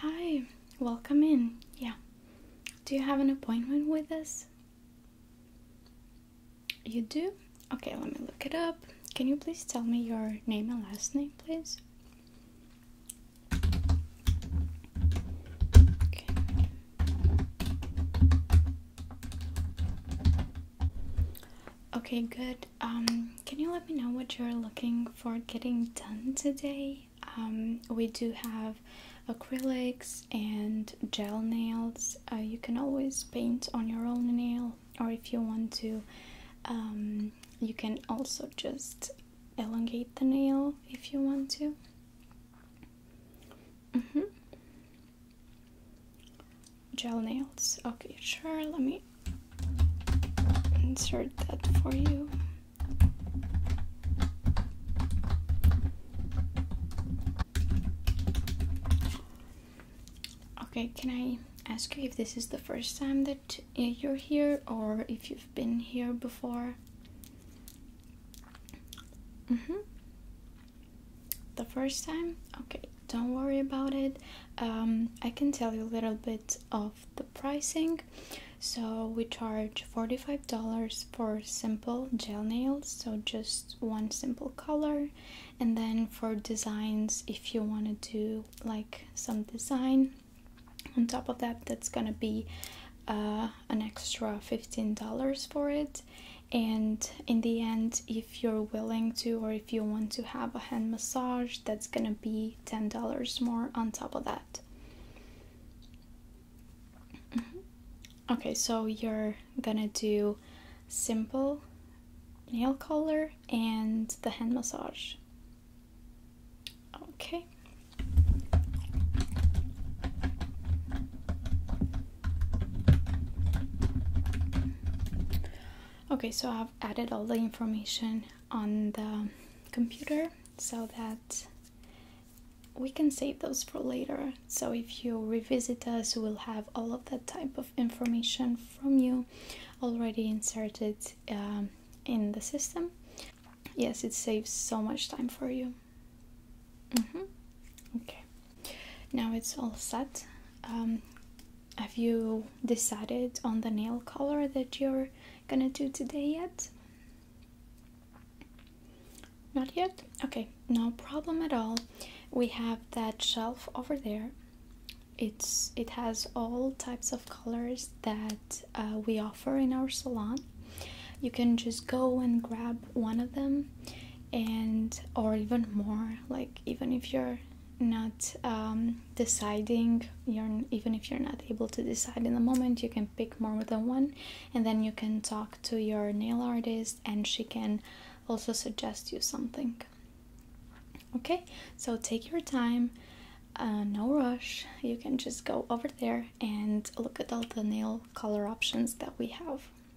Hi, welcome in. Yeah. Do you have an appointment with us? You do? Okay, let me look it up. Can you please tell me your name and last name, please? Okay. Okay, good um, can you let me know what you're looking for getting done today? Um, we do have acrylics and gel nails. Uh, you can always paint on your own nail, or if you want to, um, you can also just elongate the nail if you want to. Mm -hmm. Gel nails. Okay, sure. Let me insert that for you. Okay, can I ask you if this is the first time that eh, you're here or if you've been here before? Mm hmm the first time okay don't worry about it um, i can tell you a little bit of the pricing so we charge $45 for simple gel nails so just one simple color and then for designs if you want to do like some design on top of that that's gonna be uh, an extra $15 for it and in the end if you're willing to or if you want to have a hand massage that's going to be $10 more on top of that mm-hmm. okay so you're going to do simple nail color and the hand massage okay Okay, so I've added all the information on the computer so that we can save those for later. So if you revisit us, we'll have all of that type of information from you already inserted um, in the system. Yes, it saves so much time for you. Mm -hmm. Okay. Now it's all set. Um, have you decided on the nail color that you're gonna do today yet? Not yet? Okay, no problem at all. We have that shelf over there. It's it has all types of colors that uh, we offer in our salon. You can just go and grab one of them and or even more like even if you're not um, deciding you're even if you're not able to decide in the moment you can pick more than one and then you can talk to your nail artist and she can also suggest you something okay so take your time uh, no rush you can just go over there and look at all the nail color options that we have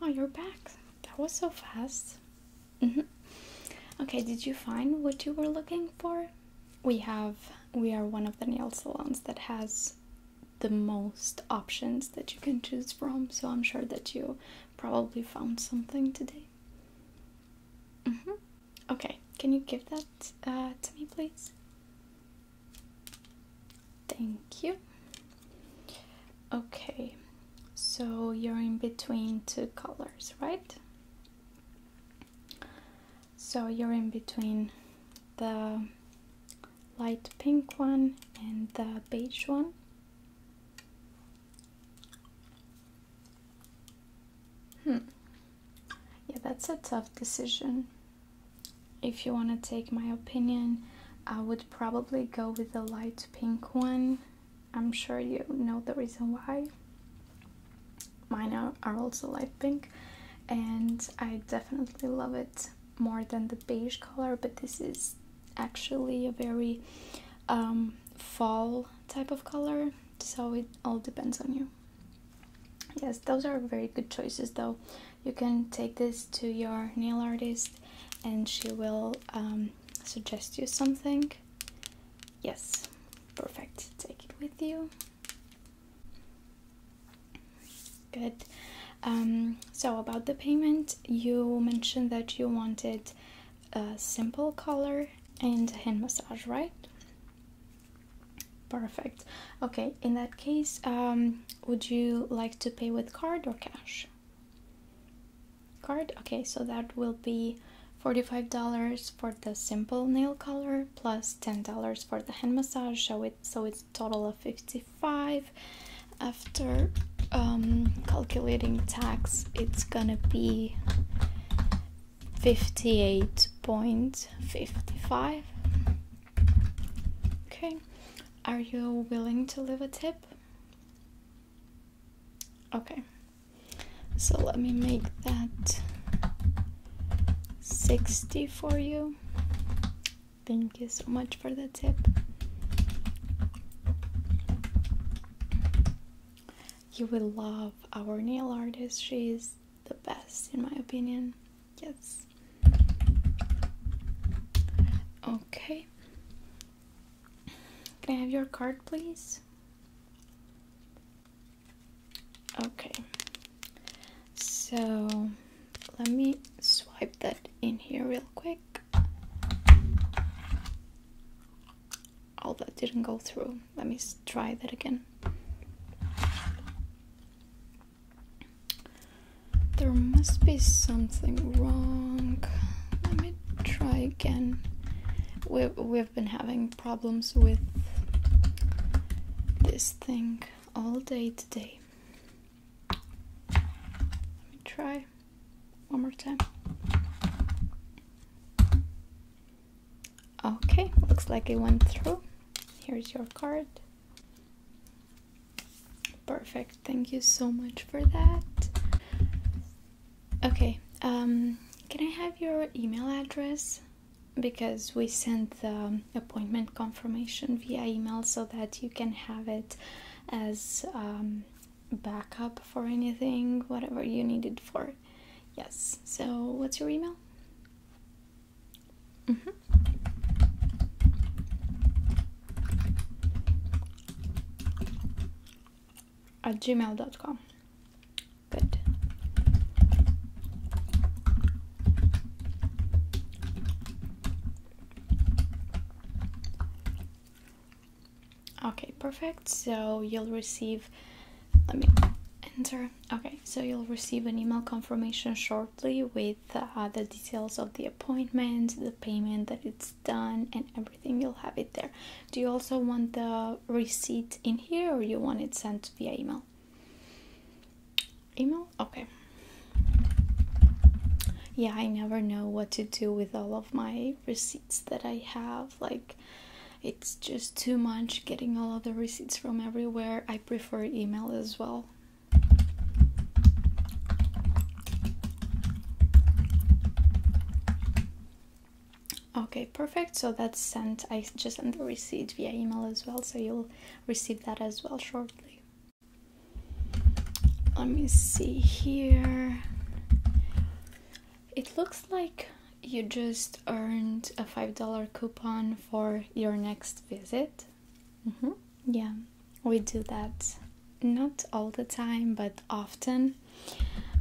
Oh, you're back. That was so fast. Mm-hmm. Okay, did you find what you were looking for? We have, we are one of the nail salons that has the most options that you can choose from, so I'm sure that you probably found something today. Mm-hmm. Okay, can you give that uh, to me, please? Thank you. Okay, so you're in between two colors, right? So you're in between the light pink one and the beige one. Hmm. Yeah, that's a tough decision if you want to take my opinion, I would probably go with the light pink one. I'm sure you know the reason why. Mine are, are also light pink and I definitely love it more than the beige color, but this is actually a very um, fall type of color, so it all depends on you. Yes, those are very good choices though you can take this to your nail artist and she will um, suggest you something. Yes, perfect. Take it with you. Good. Um, so, about the payment, you mentioned that you wanted a simple color and hand massage, right? Perfect. Okay, in that case, um, would you like to pay with card or cash? Card? Okay, so that will be $45 for the simple nail color plus $10 for the hand massage, so, it, so it's total of 55 After um, calculating tax, it's gonna be 58.55 Okay, are you willing to leave a tip? Okay, so let me make that 60 for you. Thank you so much for the tip. You will love our nail artist. She is the best, in my opinion. Yes. Okay. Can I have your card, please? Okay. So let me swipe that in here real quick. Oh, that didn't go through. Let me try that again. There must be something wrong. Let me try again. We've, we've been having problems with this thing all day today. Let me try one more time. Okay, looks like it went through. Here's your card. Perfect, thank you so much for that. Okay, um, can I have your email address? Because we sent the appointment confirmation via email so that you can have it as um, backup for anything, whatever you need it for. Yes, so what's your email? Mm -hmm. At gmail.com. Good. Okay, perfect. So you'll receive let me enter. Okay, so you'll receive an email confirmation shortly with uh, the details of the appointment, the payment that it's done, and everything. You'll have it there. Do you also want the receipt in here, or you want it sent via email? Email. Okay. Yeah, I never know what to do with all of my receipts that I have. Like, it's just too much getting all of the receipts from everywhere. I prefer email as well. Okay, perfect. So that's sent. I just sent the receipt via email as well, so you'll receive that as well shortly. Let me see here. It looks like you just earned a $5 coupon for your next visit. Mm-hmm. Yeah, we do that not all the time, but often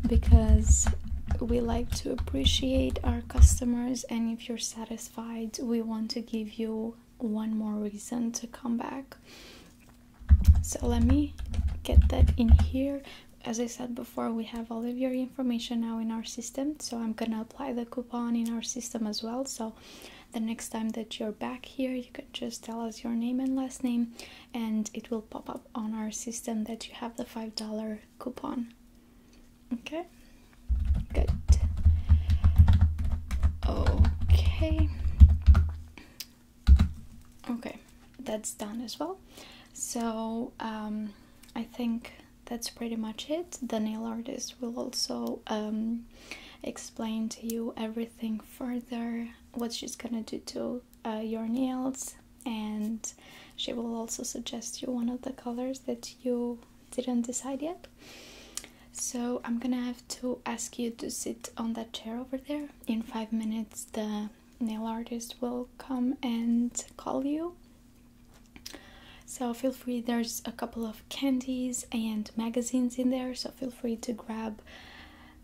because we like to appreciate our customers, and if you're satisfied, we want to give you one more reason to come back. So, let me get that in here as I said before, we have all of your information now in our system, so I'm gonna apply the coupon in our system as well. So the next time that you're back here, you can just tell us your name and last name, and it will pop up on our system that you have the $5 coupon. Okay, good. Okay, okay, that's done as well. So, um, I think that's pretty much it. The nail artist will also um, explain to you everything further, what she's gonna do to uh, your nails, and she will also suggest you one of the colors that you didn't decide yet. So I'm gonna have to ask you to sit on that chair over there. In five minutes, the nail artist will come and call you. So feel free, there's a couple of candies and magazines in there, so feel free to grab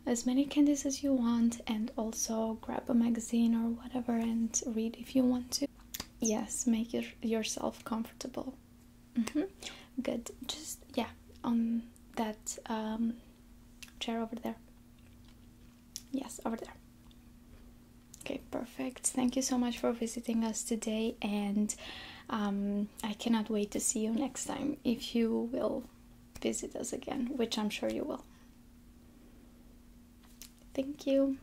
as many candies as you want and also grab a magazine or whatever and read if you want to. Yes, make your, yourself comfortable. Mm-hmm. Good. Just, yeah, on that um, chair over there. Yes, over there. Okay, perfect. Thank you so much for visiting us today, and um, I cannot wait to see you next time if you will visit us again, which I'm sure you will. Thank you.